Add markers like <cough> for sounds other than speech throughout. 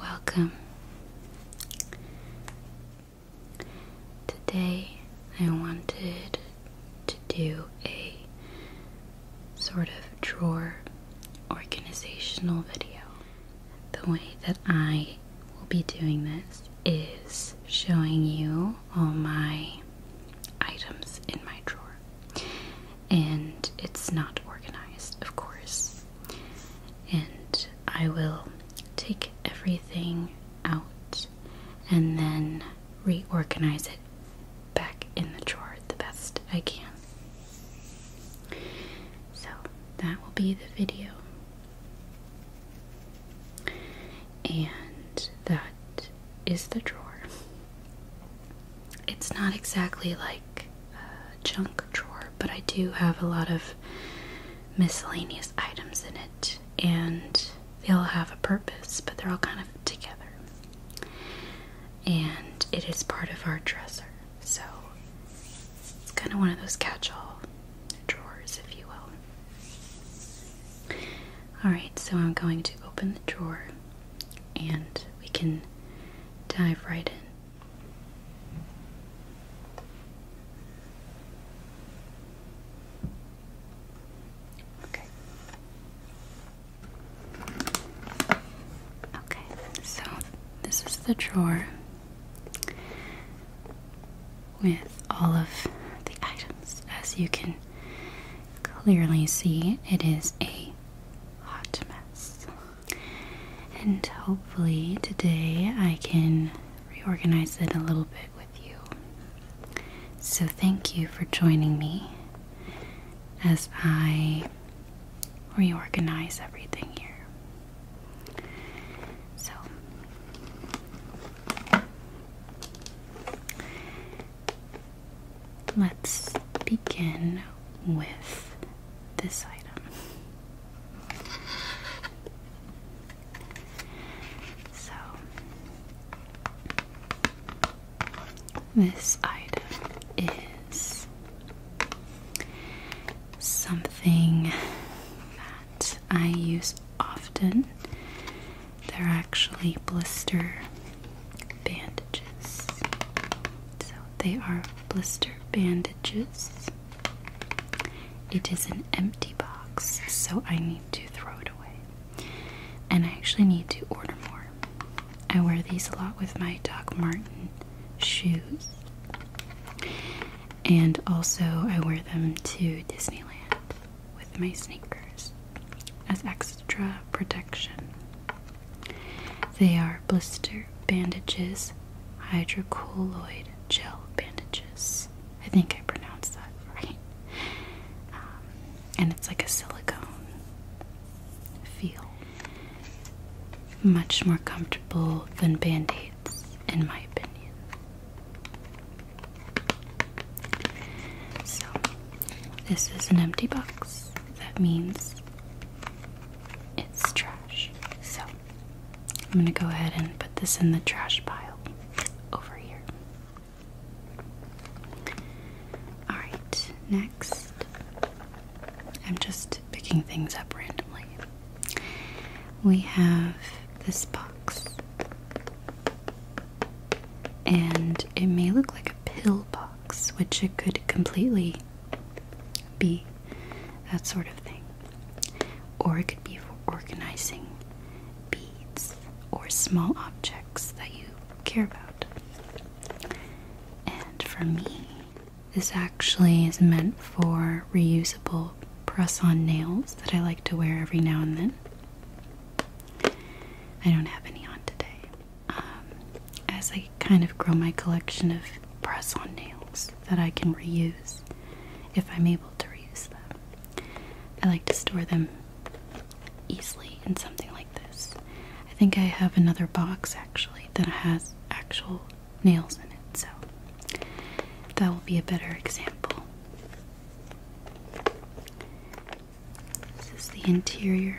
Welcome. Today I wanted to do a sort of drawer organizational video. The way that I will be doing this is showing you all my items in my drawer and it's not organized, of course. And I will take everything out and then reorganize it back in the drawer the best I can. So that will be the video. And that is the drawer. It's not exactly like a junk drawer, but I do have a lot of miscellaneous items in it, and they all have a purpose, but they're all kind of together. And it is part of our dresser, so it's kind of one of those catch all drawers, if you will. Alright, so I'm going to open the drawer and we can dive right in. Okay. Okay, so this is the drawer with all of the items. As you can clearly see, it is a hot mess. And hopefully today I can reorganize it a little bit with you. So thank you for joining me as I reorganize everything here. So let's begin with this item. So, this item is something that I use often. They're actually blister bandages. So they are blister bandages. It is an empty box, so I need to throw it away. And I actually need to order more. I wear these a lot with my Doc Martin shoes. And also, I wear them to Disneyland with my sneakers as extra protection. They are blister bandages, hydrocolloid gel bandages. I think I pronounced that right. Um, and it's like a silicone feel. Much more comfortable than band aids, in my opinion. So, this is an empty box. That means it's trash. So I'm going to go ahead and put this in the trash pile over here. Alright, next. I'm just picking things up randomly. We have this box. And it may look like a pill box, which it could completely be that sort of thing. Or it could be for organizing beads or small objects that you care about. And for me, this actually is meant for reusable press on nails that I like to wear every now and then. I don't have any on today. Um, as I kind of grow my collection of press on nails that I can reuse if I'm able to reuse them. I like to store them easily in something like this. I think I have another box actually that has actual nails in it, so that will be a better example. This is the interior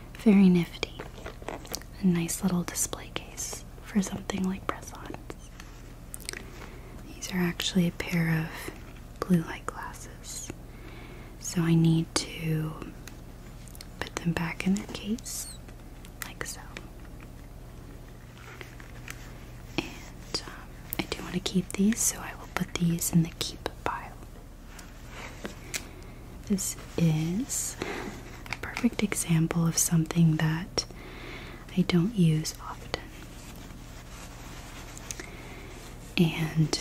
very nifty. A nice little display case for something like press ons. These are actually a pair of blue light glasses. So I need to put them back in their case, like so. And um, I do want to keep these, so I will put these in the keep pile. This is a perfect example of something that I don't use often. And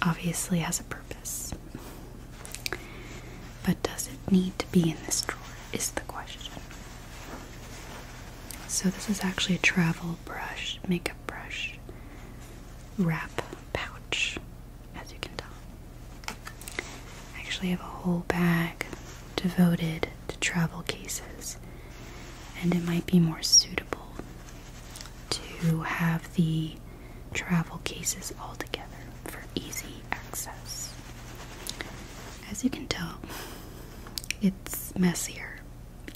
obviously has a purpose. But does it need to be in this drawer? Is the question. So, this is actually a travel brush, makeup brush, wrap pouch as you can tell. I actually have a whole bag devoted to travel cases, and it might be more suitable to have the travel cases all together for easy access. As you can tell, it's messier,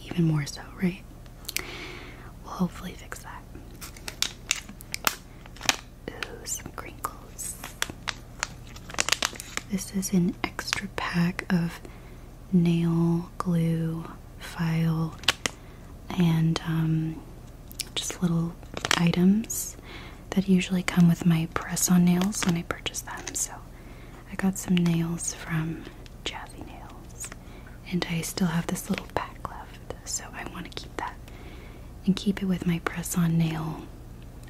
even more so, right? We'll hopefully fix that. Ooh, some crinkles. This is an extra pack of nail glue, file, and um, just little items that usually come with my press on nails when I purchase them. So I got some nails from Jazzy Nails, and I still have this little pack left so I want to keep that and keep it with my press on nail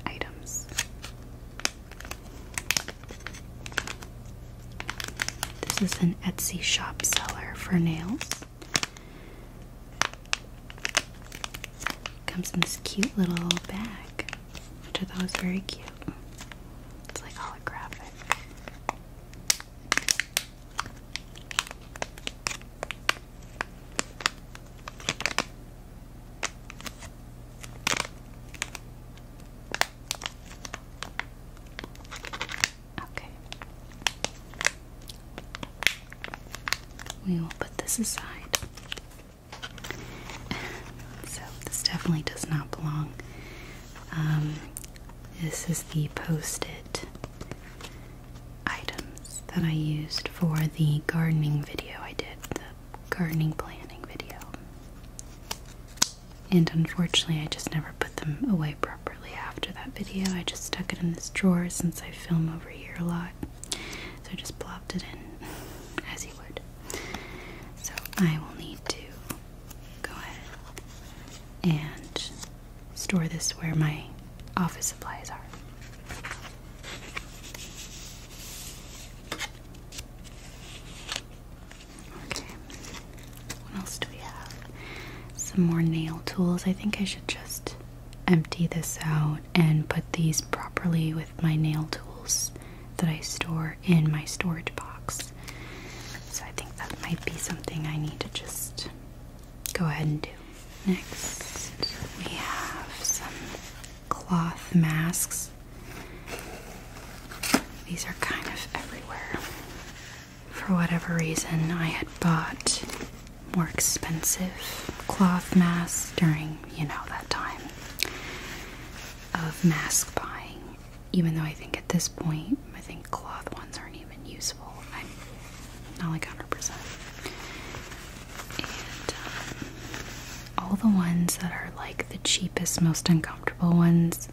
items. This is an Etsy shop seller for nails. Comes in this cute little bag, which I thought was very cute. It's like holographic. Okay. We will put this aside. <laughs> so, this definitely does not belong. Um, this is the post it items that I used for the gardening video I did, the gardening planning video. And unfortunately, I just never put them away properly after that video. I just stuck it in this drawer since I film over here a lot. So I just plopped it in <laughs> as you would. So I will need to go ahead and store this where my office supplies are. Okay, what else do we have? Some more nail tools. I think I should just empty this out and put these properly with my nail tools that I store in my storage box. So I think that might be something I need to just go ahead and do. Next, we have some cloth masks. These are kind of everywhere. For whatever reason, I had bought more expensive cloth masks during, you know, that time of mask buying. Even though I think at this point, I think cloth ones aren't even useful not like 100%. Um, all the ones that are like the cheapest, most uncomfortable ones,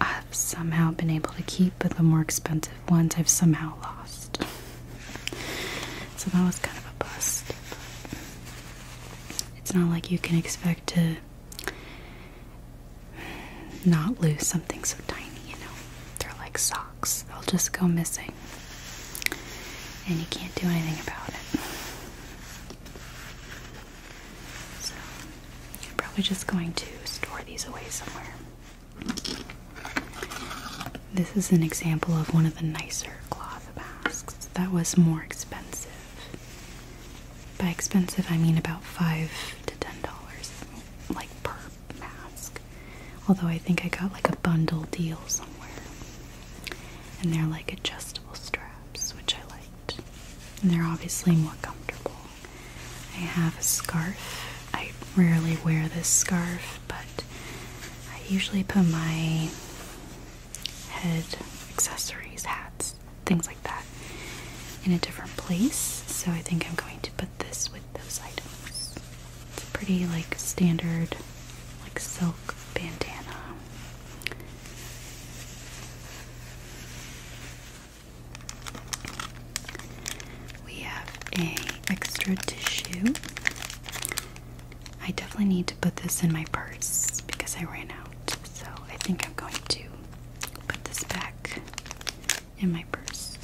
I've somehow been able to keep, but the more expensive ones I've somehow lost. so that was kind of a bust. It's not like you can expect to not lose something so tiny, you know? They're like soft. They'll just go missing. And you can't do anything about it. So, you're probably just going to store these away somewhere. This is an example of one of the nicer cloth masks that was more expensive. By expensive, I mean about 5 to $10 like per mask. Although I think I got like a bundle deal somewhere. And they're like adjustable straps, which I liked. And they're obviously more comfortable. I have a scarf. I rarely wear this scarf, but I usually put my head accessories, hats, things like that in a different place. So I think I'm going to put this with those items. It's a pretty like standard like silk bandana. We have a extra tissue. I definitely need to put this in my purse because I ran out. So I think I'm going to put this back in my purse.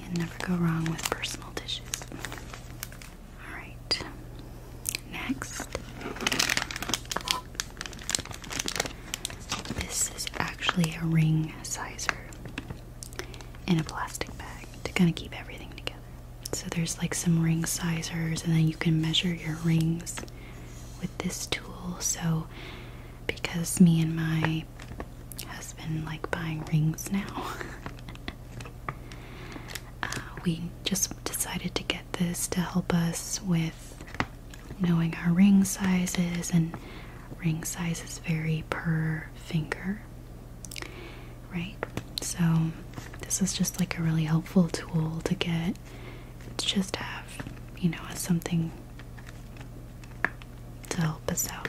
You never go wrong with personal dishes. All right. Next. This is actually a ring sizer in a plastic bag to kind of keep everything together. So there's like some ring sizers, and then you can measure your rings with this tool. So because me and my husband like buying rings now, <laughs> uh, we just decided to get this to help us with knowing our ring sizes, and ring sizes vary per finger right? So, this is just like a really helpful tool to get to just have, you know, something to help us out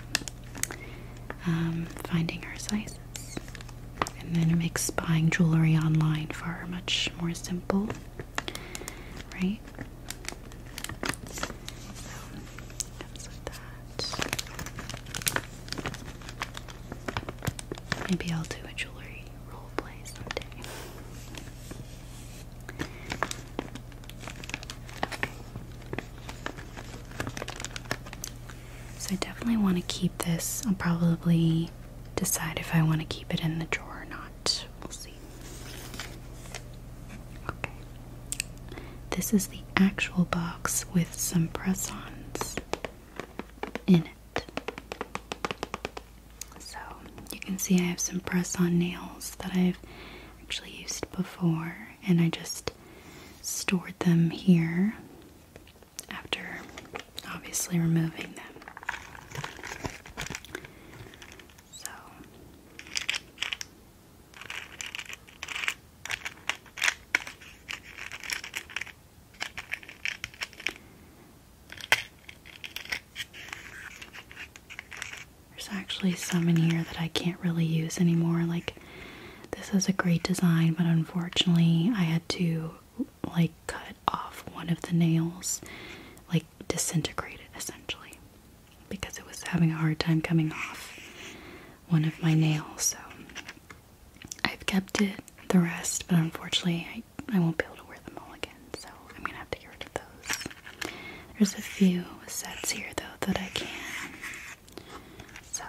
um, finding our sizes. And then it makes buying jewelry online far much more simple, right? Maybe I'll do a jewelry role someday. So I definitely want to keep this. I'll probably decide if I want to keep it in the drawer or not. We'll see. Okay. This is the actual box with some press ons in it. So you can see I have some press on nails that I've actually used before, and I just stored them here after obviously removing them. So there's actually some in here that I can't really use anymore. Like, this is a great design, but unfortunately, I had to like cut off one of the nails, like disintegrate it essentially, because it was having a hard time coming off one of my nails. So I've kept it, the rest, but unfortunately I, I won't be able to wear them all again, so I'm gonna have to get rid of those. There's a few sets here though that I can. So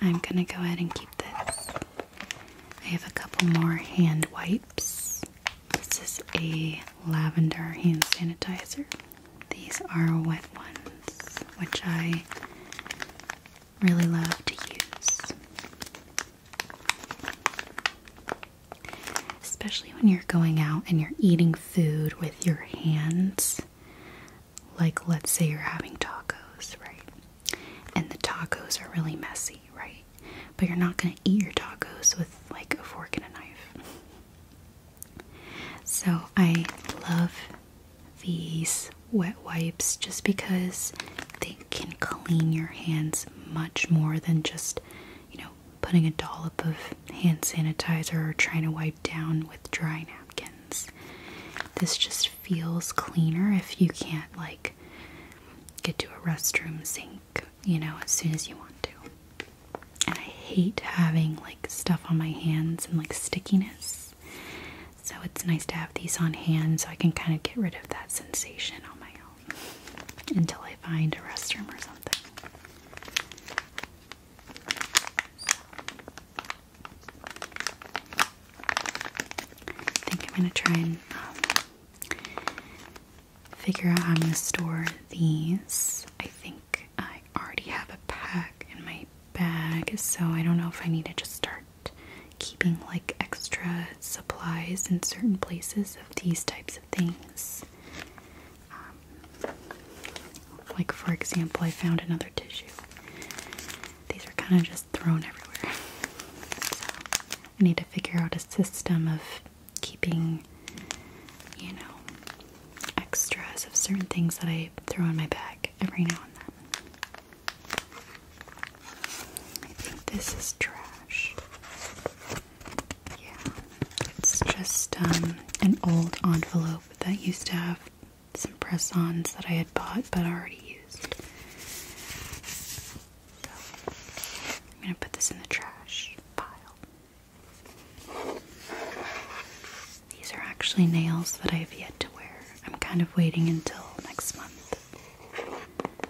I'm gonna go ahead and keep this. I have a couple more hand wipes. This is a lavender hand sanitizer. These are wet ones, which I really love to use. Especially when you're going out and you're eating food with your hands. Like, let's say you're having tacos, right? And the tacos are really messy, right? But you're not going to eat your tacos with like a fork and a knife. So, I love these wet wipes just because they can clean your hands much more than just, you know, putting a dollop of hand sanitizer or trying to wipe down with dry napkins. This just feels cleaner if you can't, like, get to a restroom sink, you know, as soon as you want to. And I hate having, like, stuff on my hands and, like, stickiness. So it's nice to have these on hand so I can kind of get rid of that sensation on my own until I find a restroom or something. I think I'm going to try and um, figure out how I'm going to store these. I think I already have a pack in my bag, so I don't know if I need to just start keeping like extra supplies in certain places of these types of things. Um, like, for example, I found another tissue. These are kind of just thrown everywhere. So, I need to figure out a system of keeping, you know, extras of certain things that I throw in my bag every now and then. I think this is trash. Yeah, it's just um, an old envelope that used to have some press ons that I had bought but already used. So, I'm gonna put this in the trash pile. These are actually nails that I have yet to wear. I'm kind of waiting until next month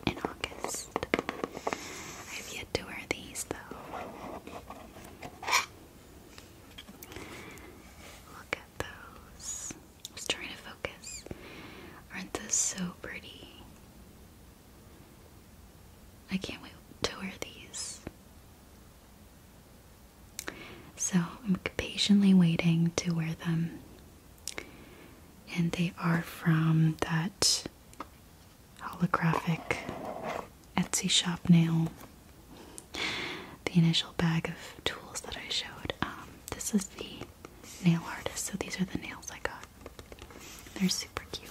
in August. I have yet to wear these though. Look at those. I was trying to focus. Aren't those so pretty? I can't wait to wear these. So I'm patiently waiting to wear them. And they are from that holographic Etsy shop nail. The initial bag of tools that I showed. Um, this is the nail artist, so these are the nails I got. They're super cute.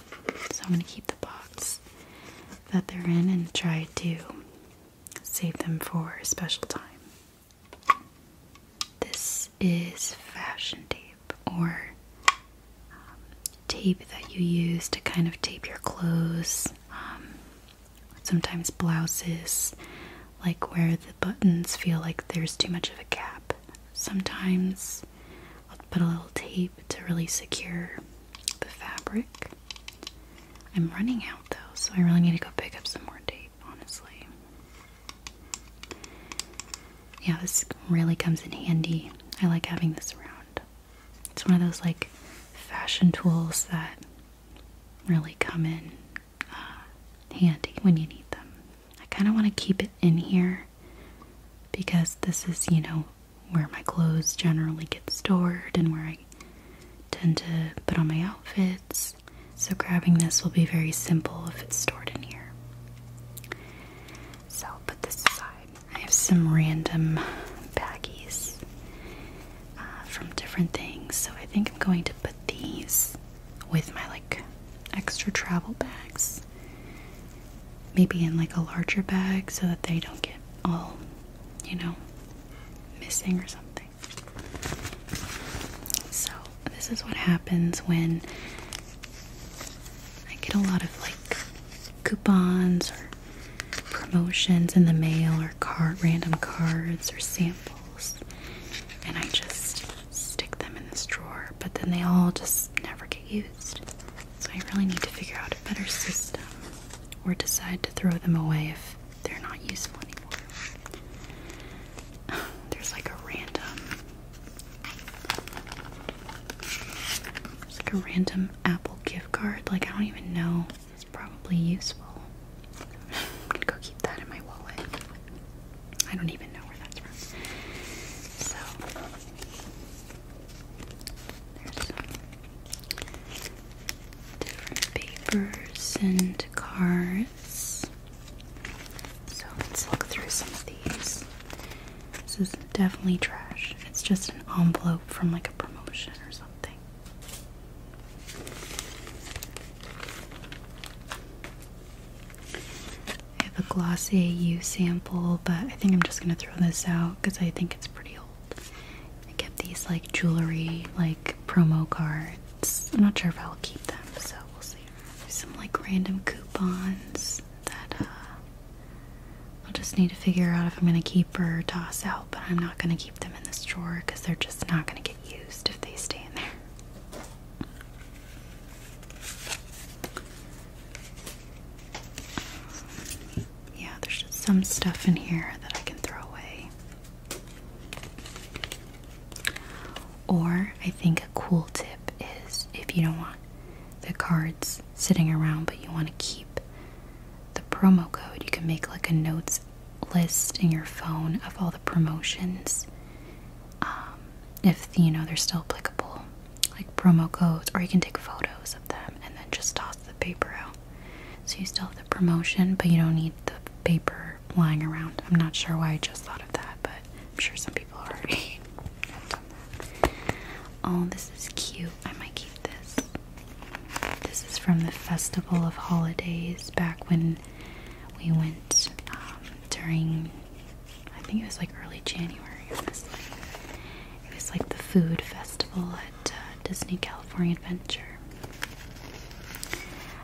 So I'm going to keep the box that they're in and try to save them for a special time. This is fashion tape or um, tape that you use to kind of tape your clothes, um, sometimes blouses, like where the buttons feel like there's too much of a gap. Sometimes I'll put a little tape to really secure the fabric. I'm running out though, so I really need to go pick up some more tape, honestly. Yeah, this really comes in handy. I like having this around. It's one of those like fashion tools that really come in uh, handy when you need them. I kind of want to keep it in here because this is, you know, where my clothes generally get stored and where I tend to put on my outfits. So, grabbing this will be very simple if it's stored in here. So, I'll put this aside. I have some random baggies uh, from different things. So, I think I'm going to put these with my like extra travel bags. Maybe in like a larger bag so that they don't get all, you know, missing or something. So, this is what happens when I get a lot of like coupons or promotions in the mail or card random cards or samples and I just stick them in this drawer, but then they all just never get used. So I really need to figure out a better system or decide to throw them away if they're not useful anymore. <sighs> There's like a random There's like a random Apple gift card. Like I don't even know. It's probably useful. I'm <sighs> gonna go keep that in my wallet. I don't even know where that's from. So there's different papers and cards. So let's look through some of these. This is definitely trash. It's just an envelope from like a promotion or something. I have a Glossier AU sample, but I think I'm just gonna throw this out because I think it's pretty old. I kept these like jewelry, like promo cards. I'm not sure if I'll keep them, so we'll see. some like random coupons that uh, I'll just need to figure out if I'm gonna keep or toss out, but I'm not gonna keep them in this drawer because they're just not gonna get used if they stay in there. yeah, there's just some stuff in here that I can throw away. Or I think a cool tip is if you don't want the cards sitting around but you want to keep the promo code, you can make like a notes list in your phone of all the promotions. Um, if you know they're still applicable, like promo codes, or you can take photos of them and then just toss the paper out. So you still have promotion, but you don't need the paper lying around. I'm not sure why I just thought of that, but I'm sure some people already <laughs> Oh, this is cute. I might keep this. This is from the Festival of Holidays back when we went um, during, I think it was like early January on It was like the food festival at uh, Disney California Adventure.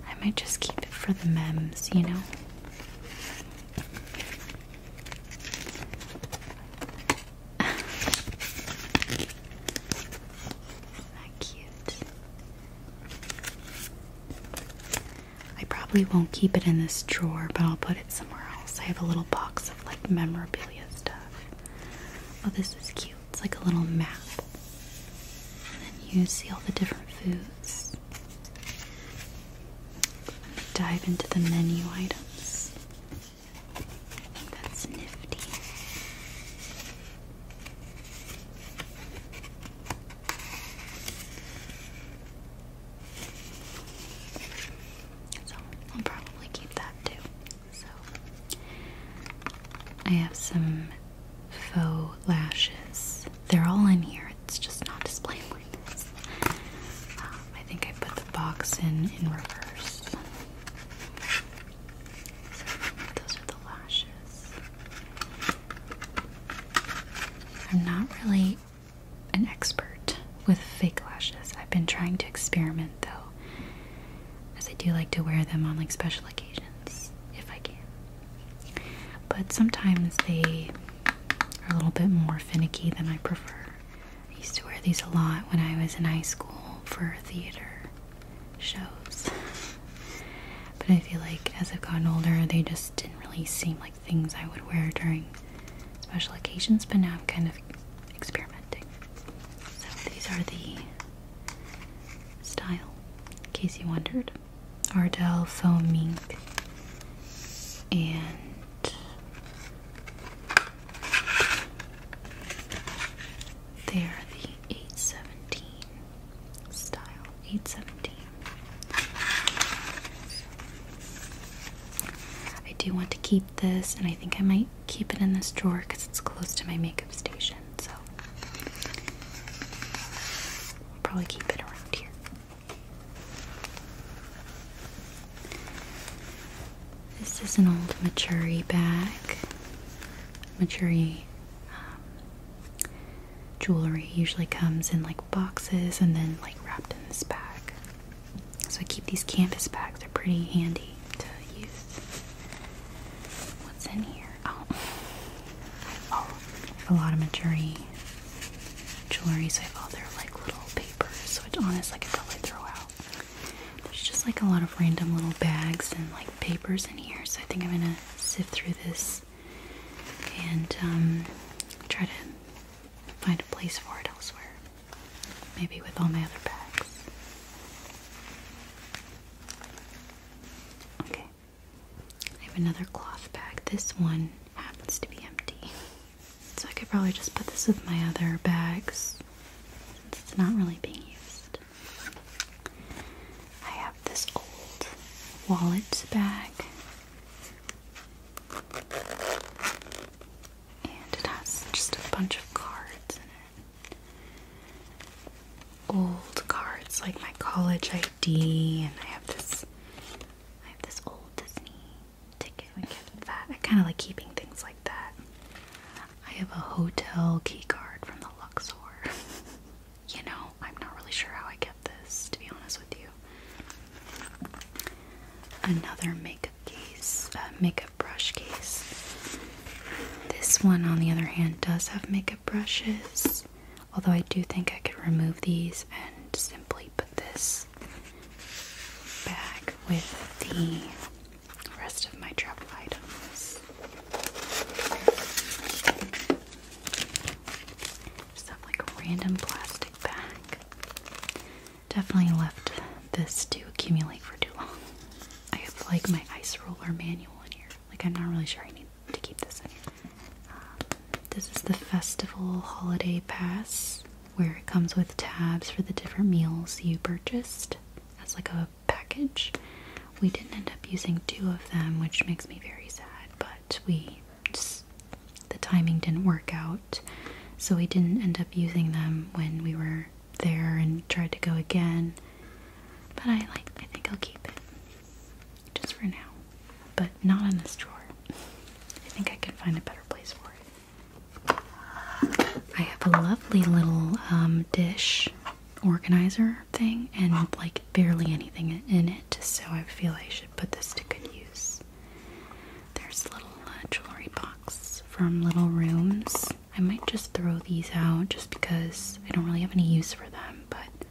I might just keep it for the memes, you know? <laughs> Not cute. I probably won't keep it in this drawer, but I'll put it somewhere else. I have a little box of like memorabilia stuff. Oh, this is cute. It's like a little map. And then you see all the different foods. I'm dive into the menu items. I think that's nifty. So I'll probably keep that too. I have some faux lashes. They're all in here. It's just not displaying. like um, I think I put the box in in reverse. those are the lashes. I'm not really an expert with fake lashes. I've been trying to experiment though as I do like to wear them on like special occasions if I can. But sometimes they are a little bit more finicky than I prefer. I used to wear these a lot when I was in high school for theater shows. but I feel like as I've gotten older, they just didn't really seem like things I would wear during special occasions, but now I'm kind of experimenting. So these are the style, in case you wondered. Ardell foam ink and they are the 817 style. 817. I do want to keep this, and I think I might keep it in this drawer because it's close to my makeup station so I'll probably keep it around here. This is an old Maturi bag. Maturi um, jewelry usually comes in like boxes and then like wrapped in this bag. So I keep these canvas bags, they're pretty handy to use. What's in here? Oh, oh, a lot of jewelry. jewelry. So I have all their like little papers, which honestly I could probably throw out. There's just like a lot of random little bags and like papers in here. So I think I'm gonna sift through this and um, try to find a place for it elsewhere. Maybe with all my other bags. Okay. I have another cloth bag. This one happens to be empty. So I could probably just put this with my other bags it's not really being used. I have this old wallet bag. And it has just a bunch of cards in it old cards like my college ID and I have this I have this old Disney ticket. like that. I kinda like keeping things like that. I have a hotel key card from the Luxor. <laughs> you know, I'm not really sure how I kept this, to be honest with you. Another makeup case, uh, makeup brush case. This one, on the other hand, does have makeup brushes, although I do think I could remove these and simply put this back with the rest of my travel items. Just have like a random plastic bag. Definitely left this to accumulate for too long. I have like my ice roller manual in here. Like, I'm not really sure I need to keep this in um, this is the festival holiday pass, where it comes with tabs for the different meals you purchased as like a package. We didn't end up using two of them, which makes me very sad. But we the timing didn't work out, so we didn't end up using them when we were there and tried to go again. But I like I think I'll keep it just for now. But not on this drawer. I think I can find a better place for it. I have a lovely little um, dish organizer thing and like barely anything in it, so I feel I should put this to good use. There's a little uh, jewelry box from Little Rooms. I might just throw these out just because I don't really have any use for them, but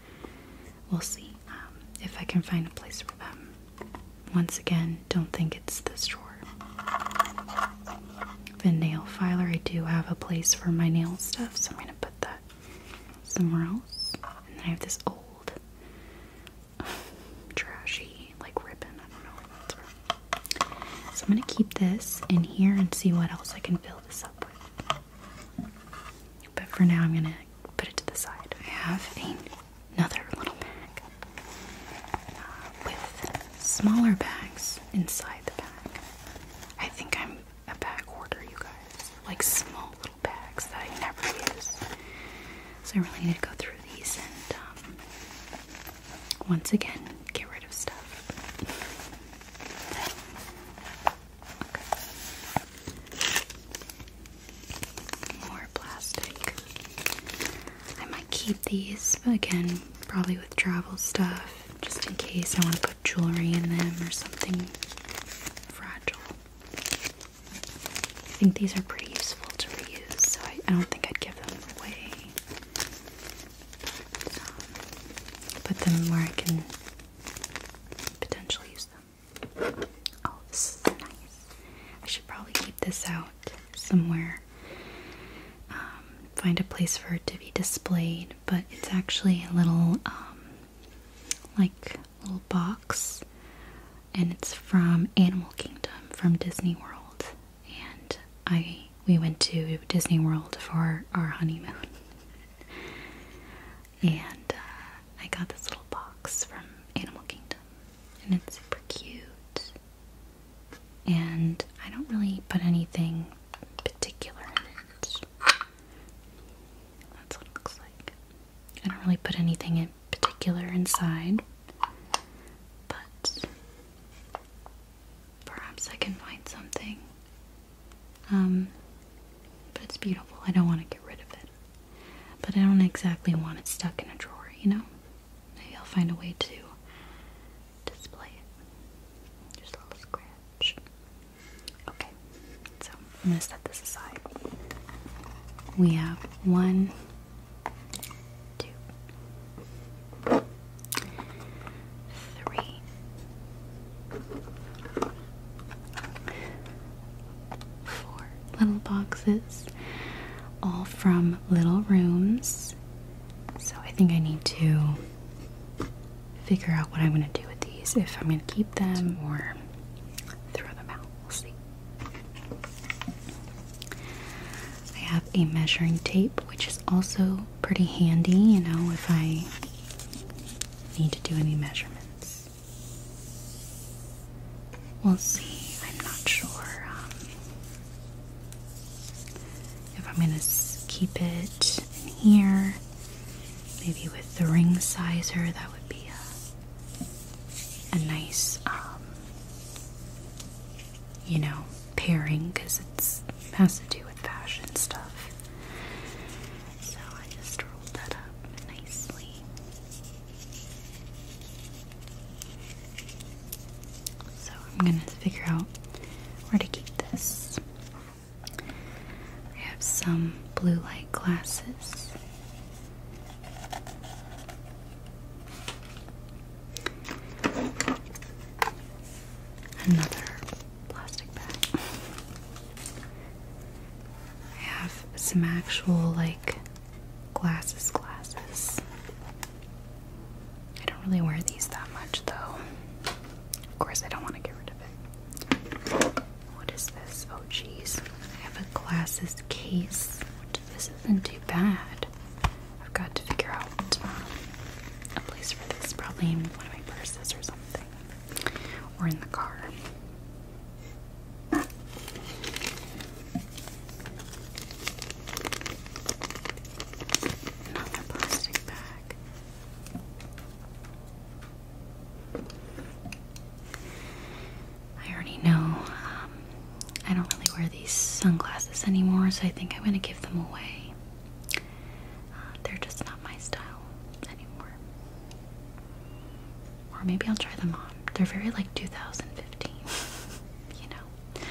we'll see um, if I can find a place for them. Once again, don't think it's this drawer. The nail filer, I do have a place for my nail stuff, so I'm gonna put that somewhere else. And then I have this old, <sighs> trashy, like ribbon. I don't know where that's from. So I'm gonna keep this in here and see what else I can fill this up with. But for now, I'm gonna put it to the side. I have another little bag uh, with smaller bags inside the bag. I think I'm a bag hoarder, you guys. Like small little bags that I never use. So I really need to go through these and um, once again get rid of stuff. More plastic. I might keep these again, probably with travel stuff, just in case I want to put jewelry in them or something fragile. I think these are pretty useful to reuse, so I don't think I'd give them away put them where I can potentially use them. Oh, this is nice. I should probably keep this out somewhere. Um, find a place for it to be displayed, but it's actually a little, um, like, little box, and it's from Animal Kingdom from Disney World, and I we went to Disney World for our honeymoon. <laughs> and uh, I got this little box from Animal Kingdom, and it's super cute. And I don't really put anything particular in it. That's what it looks like. I don't really put anything in particular inside, but Perhaps I can find something. Um, but it's beautiful. I don't want to get rid of it. But I don't exactly want it stuck in a drawer, you know? Maybe I'll find a way to display it. Just a little scratch. Okay, so I'm going to set this aside. We have one, two, three. Four little boxes, all from little rooms. So I think I need to figure out what I'm going to do with these if I'm going to keep them or throw them out. We'll see. I have a measuring tape, which is also pretty handy, you know, if I need to do any measurements. We'll see. I'm not sure um, if I'm going to keep it in here. Maybe with the ring sizer, that would be a, nice, um, you know, pairing because it's has to do with fashion stuff. So I just rolled that up nicely. So I'm gonna figure out where to keep this. I have some blue light glasses. Another plastic bag. I have some actual like glasses glasses. I don't really wear these that much though. Of course I don't want to get rid of it. What is this? Oh jeez. I have a glasses case. This isn't too bad. I've got to figure out um, a place for this. Probably in one of my purses or something or in the car. Another plastic bag. I already know um, I don't really wear these sunglasses anymore, so I think I'm going to give them away they're just not my style anymore. Or maybe I'll try them on. They're very like 2015, <laughs> you know.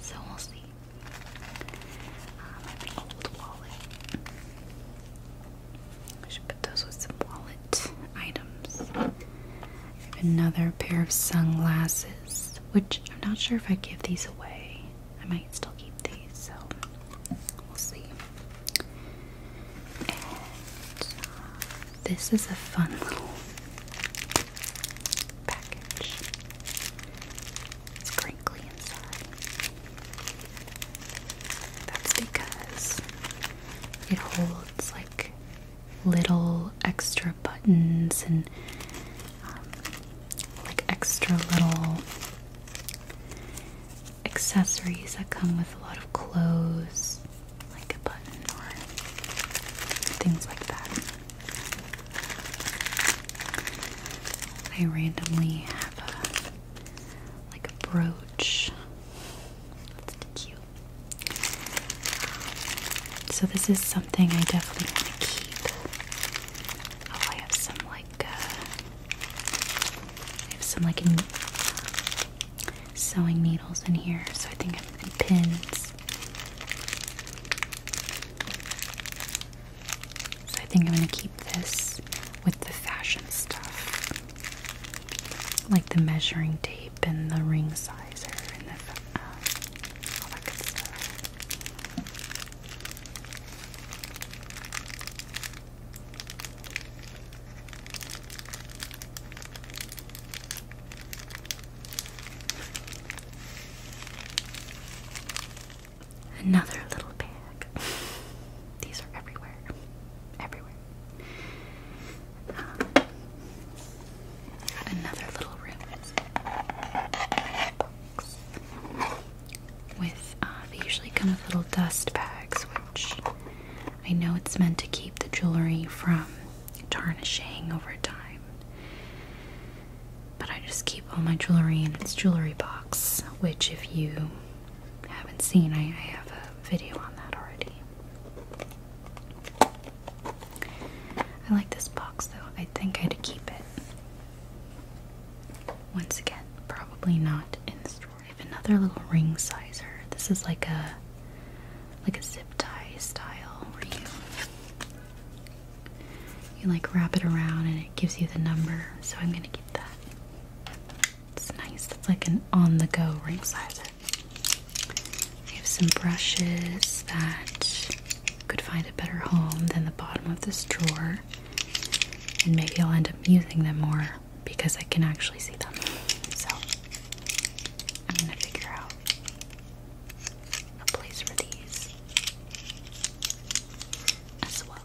So we'll see. Uh, I have an old wallet. I should put those with some wallet items. I have another pair of sunglasses, which I'm not sure if I give these away. I might still keep these, so we'll see. Uh, this is a fun little package. It's crinkly inside. That's because it holds like little extra buttons and um, like extra little accessories that come with a lot of clothes, like a button or things like that. I randomly have like a brooch. That's cute. So this is something I definitely want to keep. Oh, I have some like I uh, have some like sewing needles in here, so I think I'm pins. So I think I'm gonna keep this with the fashion stuff, like the measuring tape and the ring sizer and the, uh, Another little bag. <laughs> These are everywhere. Everywhere. another little room. With uh, they usually come with little dust bags, which I know it's meant to keep the jewelry from tarnishing over time. But I just keep all my jewelry in this jewelry box, which if you haven't seen, I, I have a video on that already. I like this box though. I think I'd keep it. Once again, probably not in the store. I have another little ring sizer. This is like a like a zip tie style where you you like wrap it around and it gives you the number. So I'm gonna get that. It's nice. It's like an on-the-go ring sizer. I have some brushes that could find a better home than the bottom of this drawer. And maybe I'll end up using them more because I can actually see them. So I'm gonna figure out a place for these as well.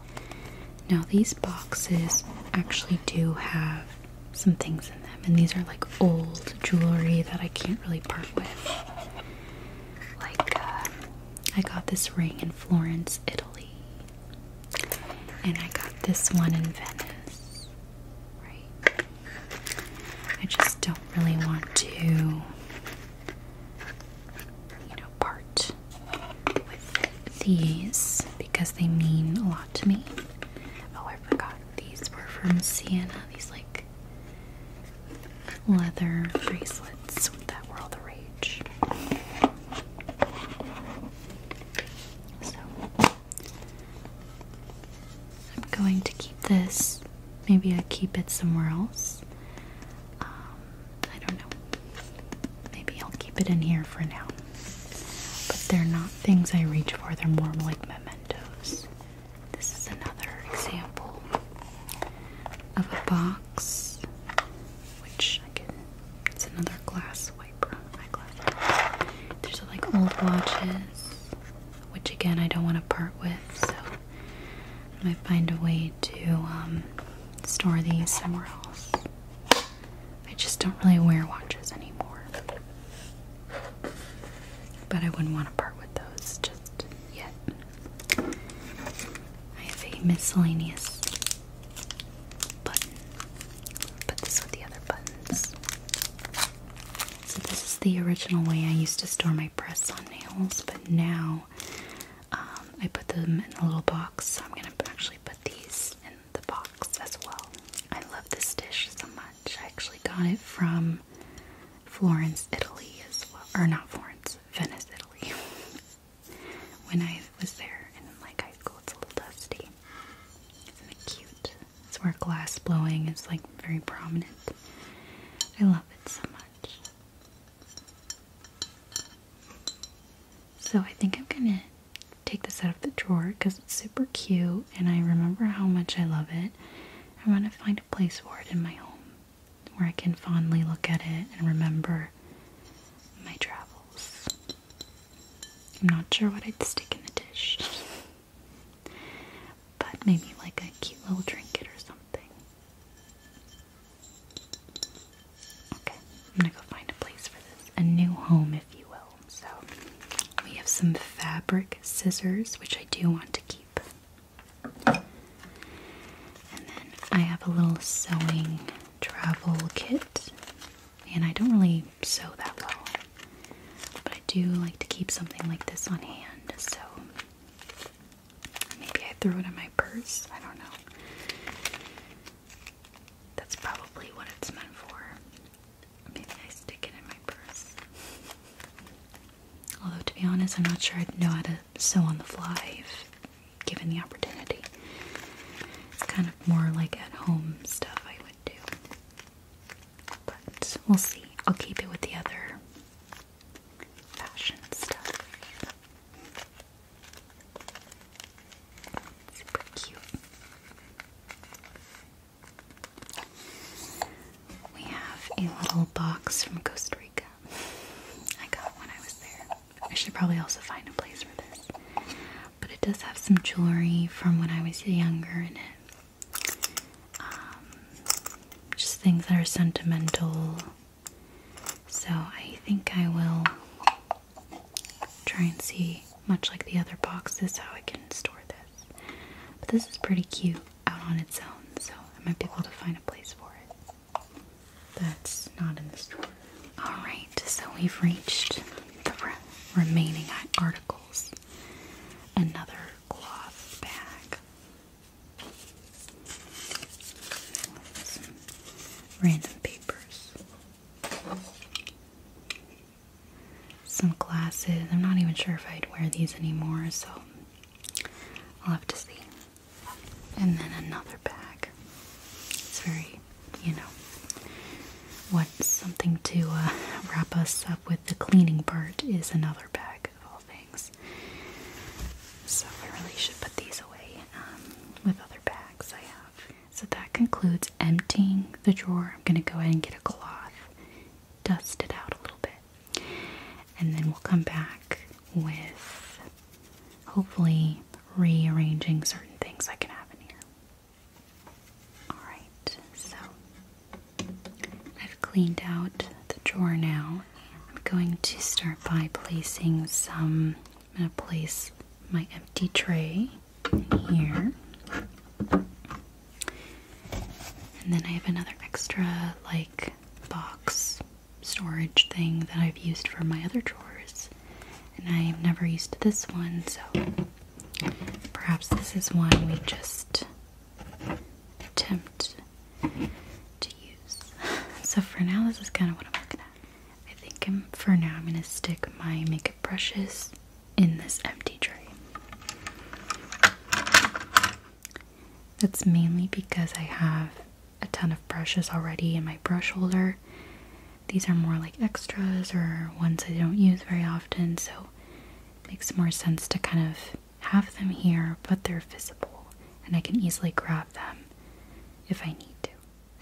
Now, these boxes actually do have some things in them, and these are like old jewelry that I can't really part with. Like, um, I got this ring in Florence, Italy, and I got this one in Venice. Right? I just don't really want to, you know, part with these because they mean a lot to me. Oh, I forgot. These were from Sienna. These, like, leather bracelets that were all the rage. I'm going to keep this. Maybe I keep it somewhere else. Um, I don't know. Maybe I'll keep it in here for now. But they're not things I reach for, they're more like mementos. This is another example of a box which I can. It's another glass wiper, eyeglass. There's like old watches, which again I don't want to part with, so I find a way to um, store these somewhere else. I just don't really wear watches anymore, but I wouldn't want to part with those just yet. I have a miscellaneous button. Put this with the other buttons. So this is the original way I used to store my press on nails, but now um, I put them in a little box. So I'm gonna actually put these in the box as well. I love this dish so much. I actually got it from Florence, Italy, as well, or not Florence, Venice, Italy. <laughs> when I was there in like high school. It's a little dusty. Isn't it cute? It's where glass blowing is like very prominent. I love it so much. So I think I'm gonna take this out of the drawer because it's super cute and I remember how much I love it. I want to find a place for it in my home where I can fondly look at it and remember my travels. I'm not sure what I'd stick in the dish. but maybe like a cute little trinket or something. Okay, I'm gonna go find a place for this. A new home, if you will. So, we have some fabric scissors, which I do want to keep. And then I have a little sewing travel kit, and I don't really sew that well, but I do like to keep something like this on hand, so maybe I threw it in my purse. I don't know. That's probably what it's meant for. Maybe I stick it in my purse. Although, to be honest, I'm not sure I'd know how to sew on the fly given the opportunity. It's kind of more like at home stuff I would do. But we'll see. I'll keep it with the other fashion stuff. Super cute. We have a little box from Costa Rica. <laughs> I got when I was there. I should probably also find a place for this. But it does have some jewelry from when I was younger in it. Um, just things that are sentimental. So I think I will try and see, much like the other boxes, how I can store this. But this is pretty cute out on its own, so I might be able to find a place for it. That's not in this drawer. Alright, so we've reached the remaining articles. Another cloth bag. random papers. Some glasses. I'm not even sure if I'd wear these anymore, so I'll have to see and then another bag. It's very, you know, what something to uh, wrap us up with the cleaning part is another bag of all things. So I really should put these away um, with other bags I have. So that concludes emptying the drawer. I'm going to go ahead and get a cloth, dust it out a little bit, and then we'll come back with hopefully rearranging certain things that can happen here. Alright, so I've cleaned out the drawer now. I'm going to start by placing some. I'm going to place my empty tray here. And then I have another extra, like, box storage thing that I've used for my other drawers, and I've never used this one, so perhaps this is one we just attempt to use. <laughs> So for now, this is kind of what I'm looking at. I think for now I'm going to stick my makeup brushes in this empty tray. That's mainly because I have a ton of brushes already in my brush holder. These are more like extras or ones I don't use very often, so it makes more sense to kind of have them here, but they're visible and I can easily grab them if I need to.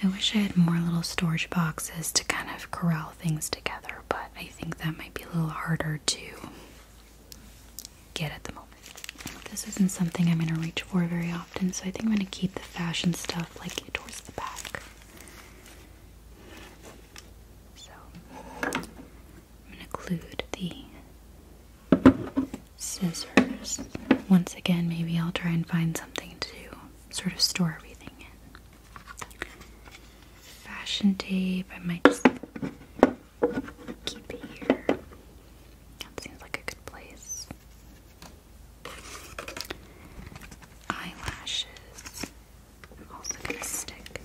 I wish I had more little storage boxes to kind of corral things together, but I think that might be a little harder to get at the moment. This isn't something I'm going to reach for very often so I think I'm going to keep the fashion stuff like towards the back. So I'm going to include the scissors. Once again, maybe I'll try and find something to sort of store everything in. Fashion tape, I might just keep it here. That seems like a good place. Eyelashes. i also gonna stick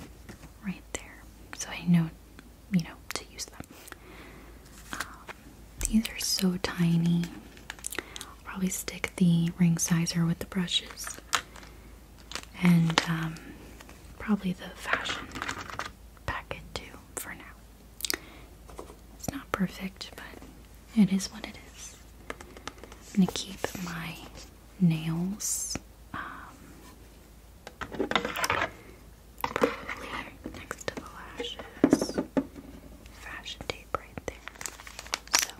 right there, so I know, you know, to use them. Um, these are so tiny. I'll probably stick the ring sizer with the brushes, and um, probably the fashion packet too for now. It's not perfect, but it is what it is. I'm gonna keep my nails um, probably next to the lashes. Fashion tape right there. So,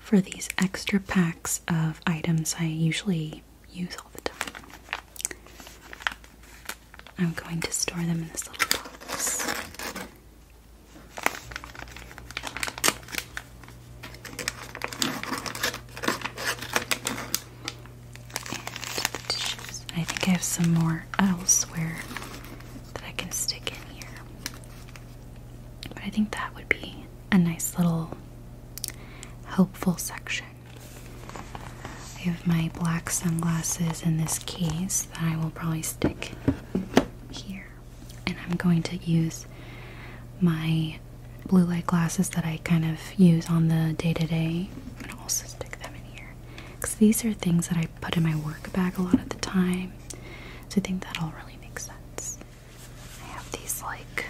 for these extra packs of items, I usually use all the time. I'm going to store them in this little box. I think I have some more elsewhere that I can stick in here. But I think that would be a nice little helpful section. I have my black sunglasses in this case that I will probably stick here. And I'm going to use my blue light glasses that I kind of use on the day to day. I'm going to also stick them in here. Because these are things that I put in my work bag a lot of the time. So I think that all really makes sense. I have these like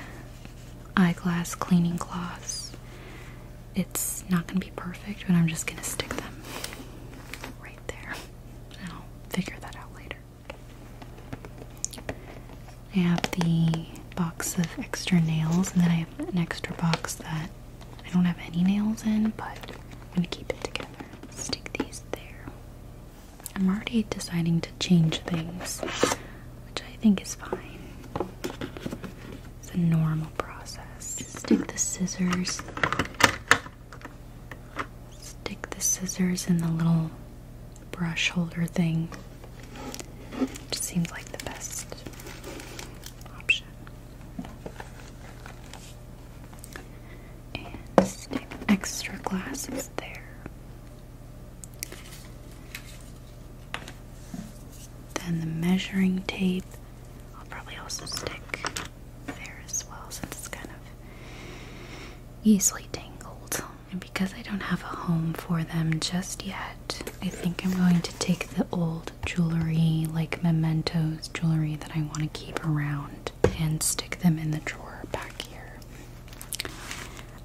eyeglass cleaning cloths it's not going to be perfect, but I'm just going to stick them right there. And I'll figure that out later. I have the box of extra nails, and then I have an extra box that I don't have any nails in, but I'm going to keep it together. Stick these there. I'm already deciding to change things, which I think is fine. It's a normal process. Stick the scissors. Stick the scissors in the little brush holder thing. Just seems like the best option. And stick extra glasses there. Then the measuring tape I'll probably also stick there as well since it's kind of easily tangled. And because I don't have a home for them just yet, I think I'm going to take the old jewelry, like mementos jewelry that I want to keep around, and stick them in the drawer back here.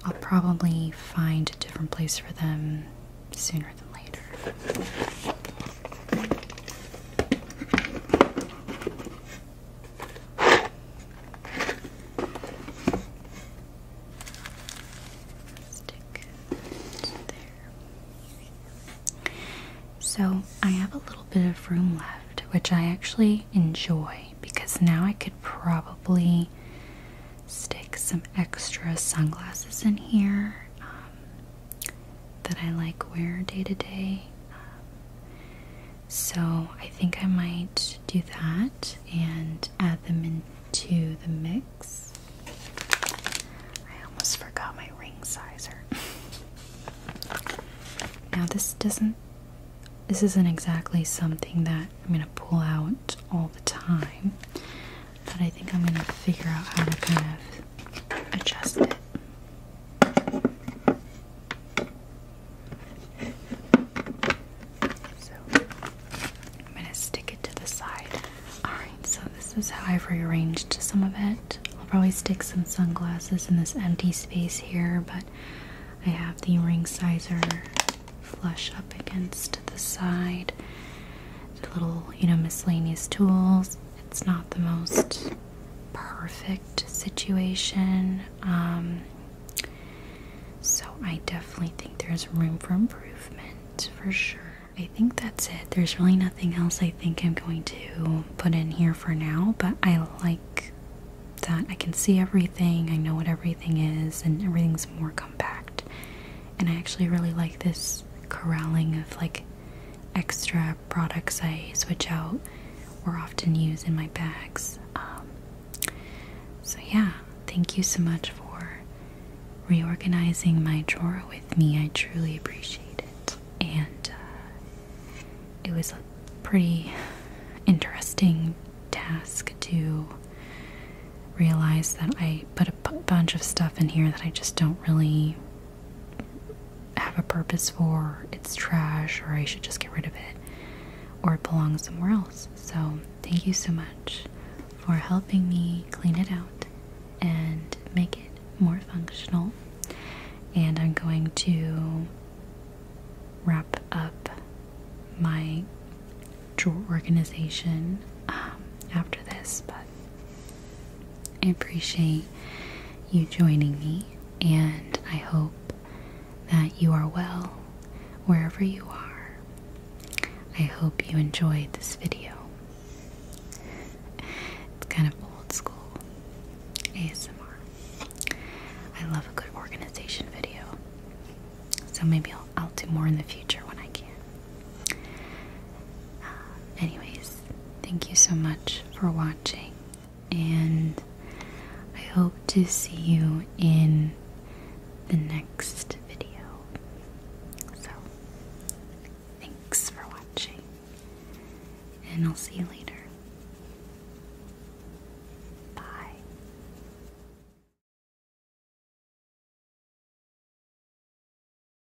I'll probably find a different place for them sooner than later. Stick there. So I have a little bit of room left, which I actually enjoy because now I could probably stick some extra sunglasses in here. Um, that I like wear day to day. Um, so I think I might do that and add them into the mix. I almost forgot my ring sizer. <laughs> now this doesn't this isn't exactly something that I'm going to pull out all the time. But I think I'm gonna figure out how to kind of adjust it. So I'm gonna stick it to the side. Alright, so this is how I've rearranged some of it. I'll probably stick some sunglasses in this empty space here, but I have the ring sizer flush up against the side. The little, you know, miscellaneous tools, it's not the most perfect situation. Um, so I definitely think there's room for improvement for sure. I think that's it. There's really nothing else I think I'm going to put in here for now, but I like that I can see everything, I know what everything is, and everything's more compact. And I actually really like this corralling of like extra products I switch out or often use in my bags. Um, so, yeah, thank you so much for reorganizing my drawer with me. I truly appreciate it. And uh, it was a pretty interesting task to realize that I put a bunch of stuff in here that I just don't really have a purpose for, it's trash, or I should just get rid of it, or it belongs somewhere else. So, thank you so much for helping me clean it out and make it more functional. And I'm going to wrap up my drawer organization um, after this, but I appreciate you joining me, and I hope that you are well wherever you are. I hope you enjoyed this video. It's kind of old school ASMR. I love a good organization video. So maybe I'll, I'll do more in the future when I can. Uh, anyways, thank you so much for watching, and I hope to see you in the next video. So, thanks for watching, and I'll see you later. Bye.